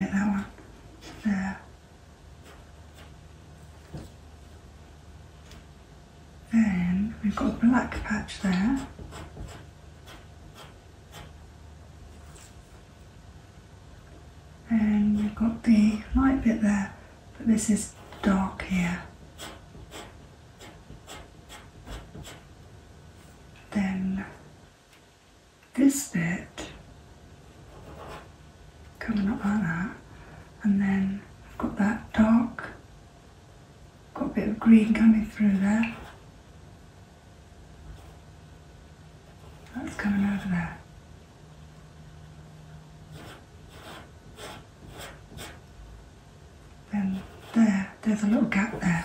that one. There. Then we've got a black patch there. And we've got the light bit there, but this is dark here. Then this bit coming up like that and then I've got that dark, got a bit of green coming through there. That's coming out of there. Then there, there's a little gap there.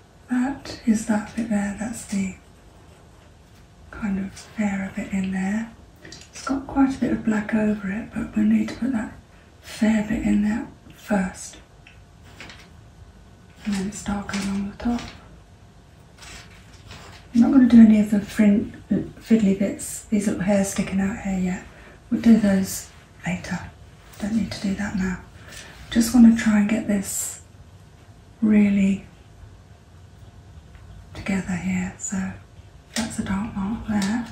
That is that bit there, that's the kind of fairer bit in there. It's got quite a bit of black over it, but we need to put that fair bit in there first. And then it's darker along the top. I'm not going to do any of the fiddly bits, these little hairs sticking out here yet. We'll do those later. Don't need to do that now. Just want to try and get this really together here. So that's a dark mark there.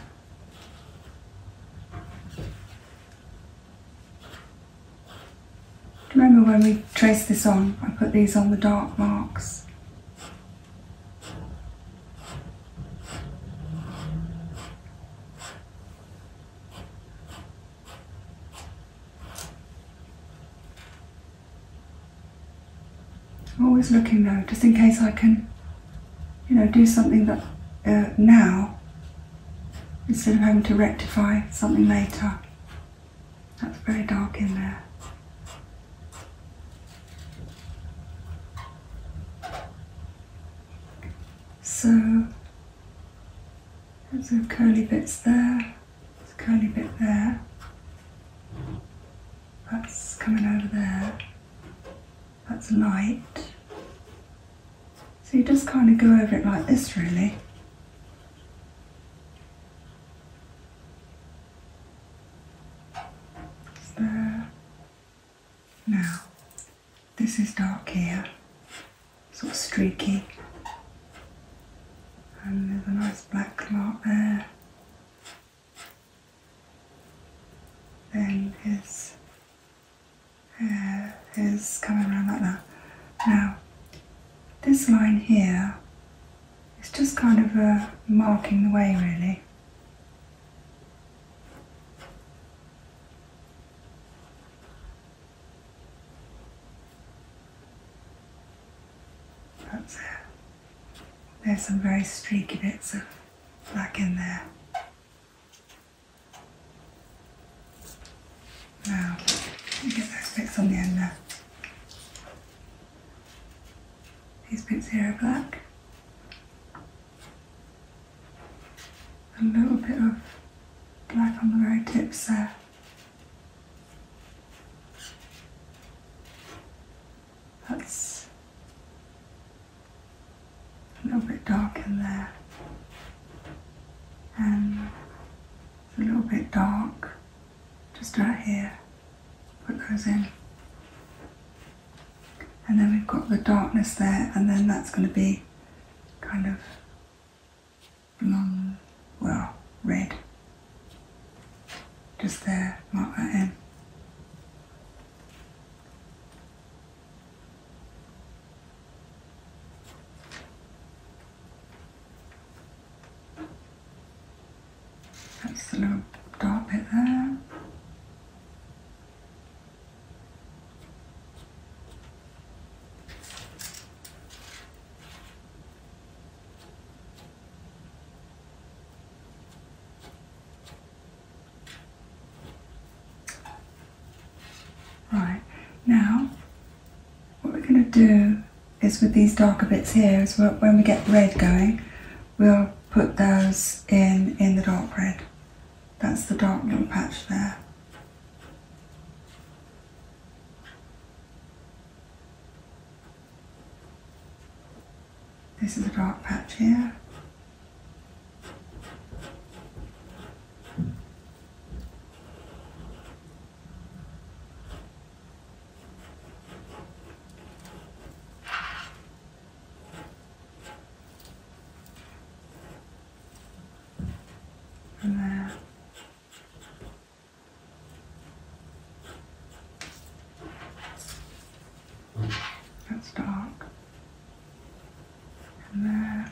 Remember when we traced this on, I put these on the dark marks always looking though, just in case I can, you know, do something But uh, now instead of having to rectify something later. That's very dark in there. So some curly bits there, a curly bit there. That's coming over there. That's light. So you just kind of go over it like this really. there. Now, this is dark here, sort of streaky. And there's a nice black mark there. Then his hair is coming around like that. Now, this line here is just kind of uh, marking the way really. There's some very streaky bits of black in there. Now, you get those bits on the end there. These bits here are black. A little bit of black on the very tips there. That's a little bit dark in there. And um, a little bit dark just right here. Put those in. And then we've got the darkness there and then that's going to be kind of long, well, red. Just there, mark that in. That's the little dark bit there. Right, now what we're going to do is with these darker bits here is when we get red going, we'll put those in, in the dark red. That's the dark little patch there. This is a dark patch here. And there. That's dark. And there.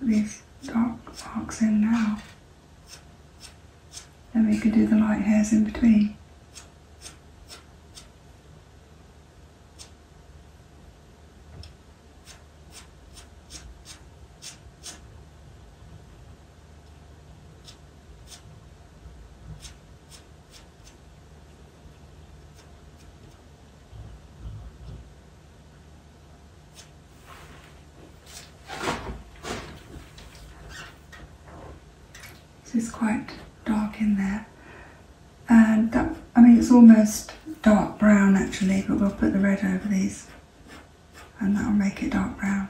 This dark marks in now. and we can do the light hairs in between. So it's quite dark in there. And I mean, it's almost dark brown actually, but we'll put the red over these and that'll make it dark brown.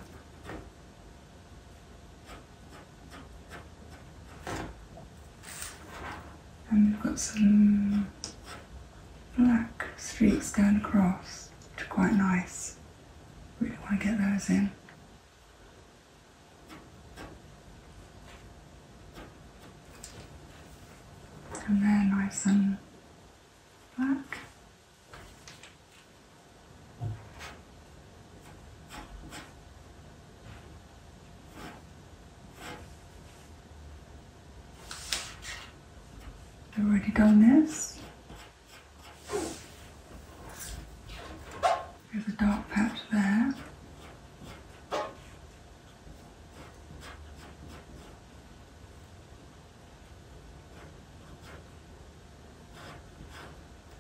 And we've got some black streaks going across, which are quite nice. Really want to get those in. And they nice and black. I've already done this. There's a dark patch there.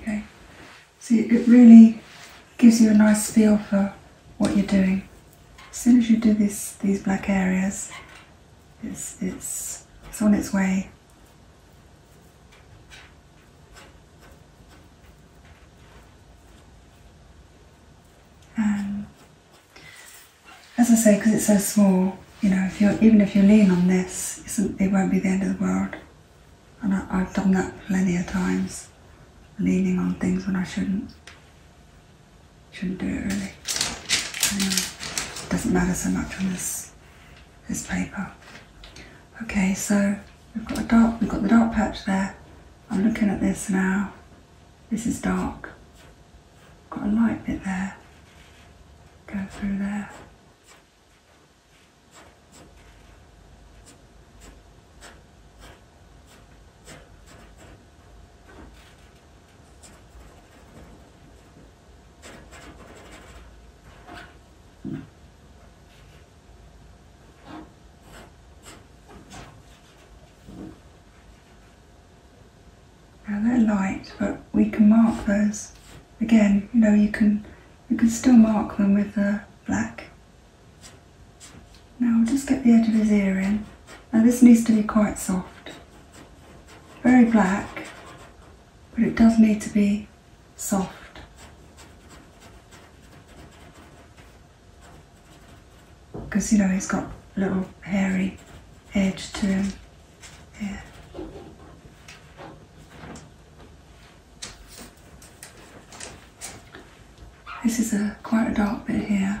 Okay, see it really gives you a nice feel for what you're doing. As soon as you do this, these black areas, it's, it's, on its way. Um, as I say, because it's so small, you know, if you're, even if you lean on this, it won't be the end of the world. And I, have done that plenty of times, leaning on things when I shouldn't. Shouldn't do it really. doesn't matter so much on this, this paper. Okay, so we've got, a dark, we've got the dark patch there. I'm looking at this now. This is dark. Got a light bit there. Go through there. Now they're light, but we can mark those. Again, you know, you can you can still mark them with the black. Now I'll just get the edge of his ear in. Now this needs to be quite soft. Very black, but it does need to be soft. Because you know he's got a little hairy edge to him. This is a quite a dark bit here.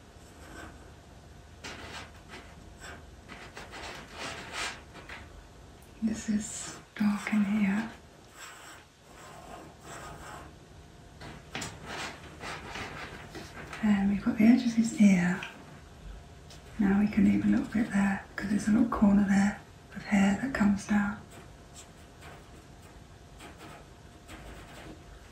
This is dark in here. And um, we've got the edge of his ear. Now we can leave a little bit there because there's a little corner there of hair that comes down.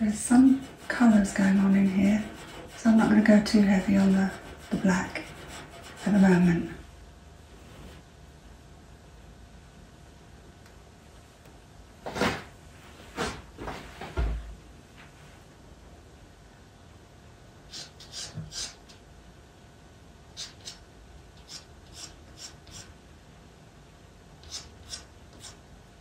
There's some colours going on in here, so I'm not going to go too heavy on the, black at the moment.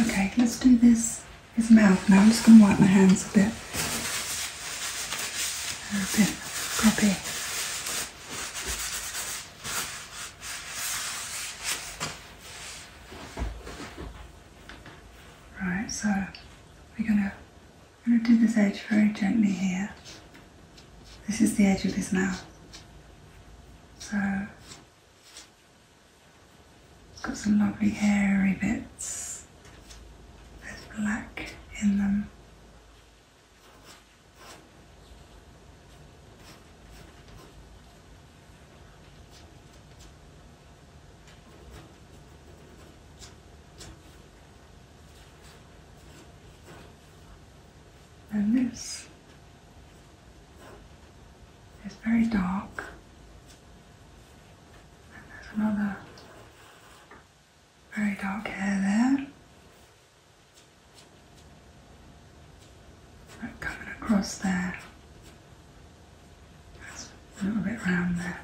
Okay, let's do this, his mouth. Now I'm just going to wipe my hands a bit. A bit grubby. Right, so we're going to I'm going to do this edge very gently here. This is the edge of his mouth. So it's got some lovely hairy bits with black in them. And this is very dark. And there's another very dark hair there. coming across there a little bit round there.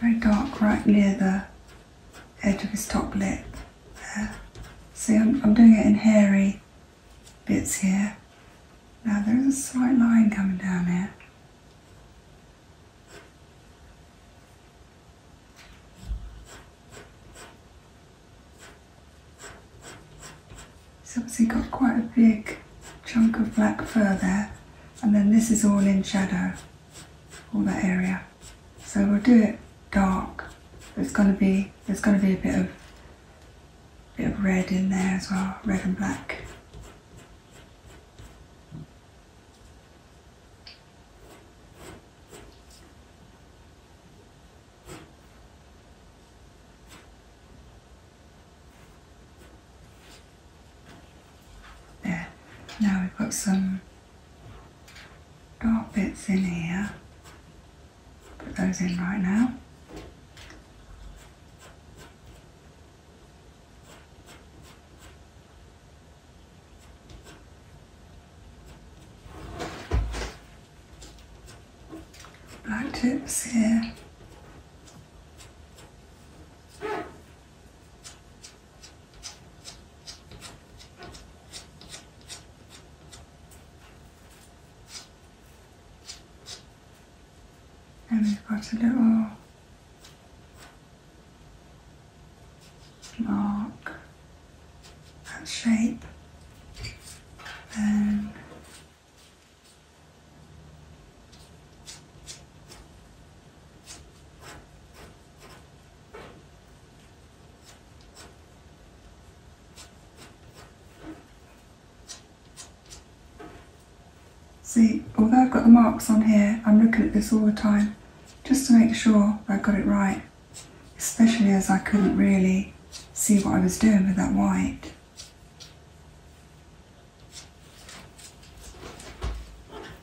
Very dark right near the edge of his top lip there. See, I'm, I'm doing it in hairy bits here. Now there is a slight line coming down here. It's obviously got quite a big chunk of black fur there and then this is all in shadow, all that area. So we'll do it dark. There's going to be there's going to be a bit of Bit of red in there as well, red and black. There, now we've got some dark bits in here Put those in right now. Black tips here and we've got a little mark and shape then See, although I've got the marks on here, I'm looking at this all the time just to make sure I have got it right, especially as I couldn't really see what I was doing with that white.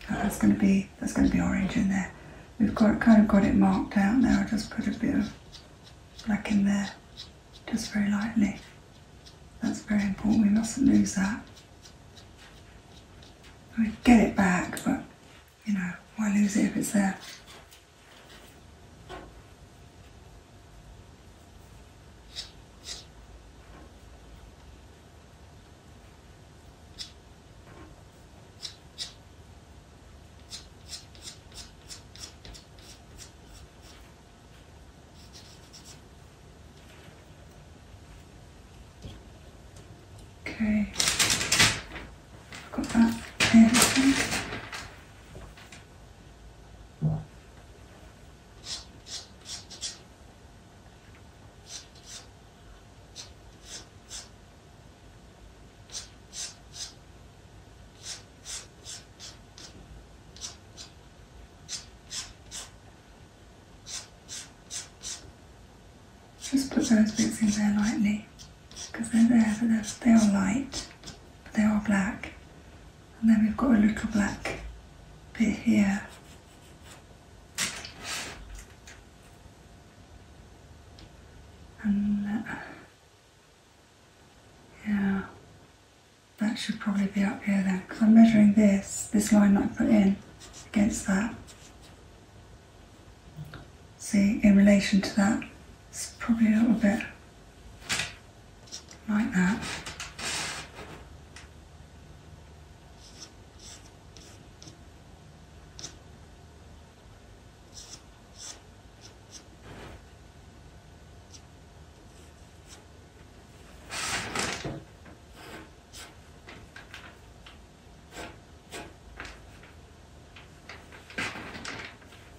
That's going to be that's going to be orange in there. We've got kind of got it marked out now. I Just put a bit of black in there just very lightly. That's very important, we mustn't lose that. We get it back, but you know, why lose it if it's there? Okay, got that in. Just put those bits in there lightly because they're there, but they're, they are light, but they are black. And then we've got a little black bit here. And uh, yeah, that should probably be up here then, because I'm measuring this, this line I put in, against that. See, in relation to that, it's probably a little bit like that.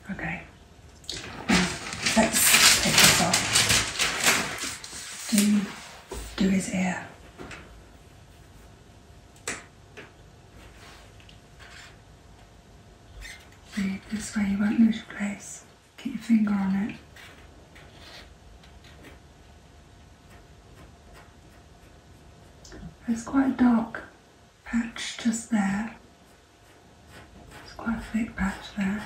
Okay, let's take this off. Do do his ear this way, you won't lose your place. Keep your finger on it. There's quite a dark patch just there. It's quite a thick patch there.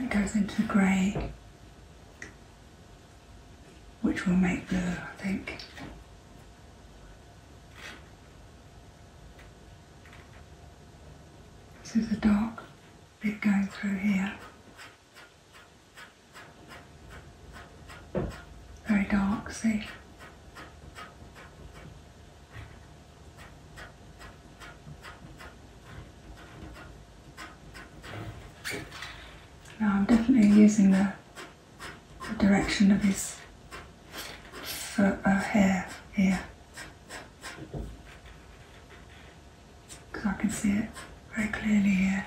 It goes into grey which will make blue, I think. This is a dark bit going through here. Very dark, see? Now I'm definitely using the the direction of his foot, uh, hair here. Because I can see it very clearly here.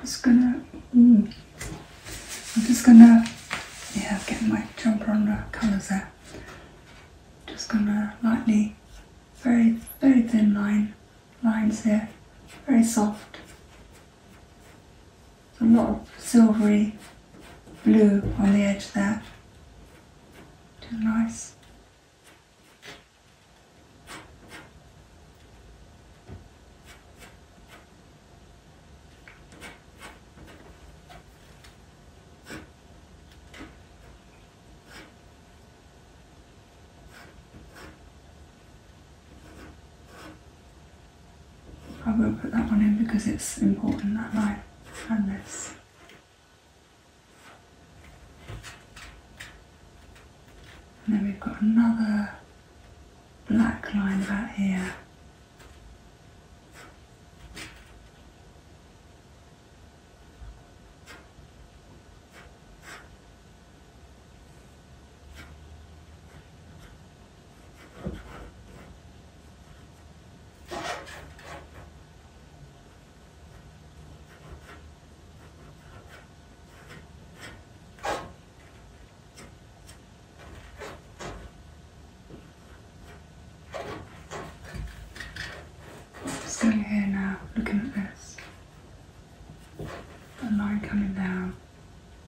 just gonna, mm. I'm just gonna, yeah, get my jumper on the colours there. Just gonna lightly, very, very thin line, lines here, very soft a lot of silvery blue on the edge there. Too nice. I will put that one in because it's important that line and this. And then we've got another black line back here standing here now looking at this. The line coming down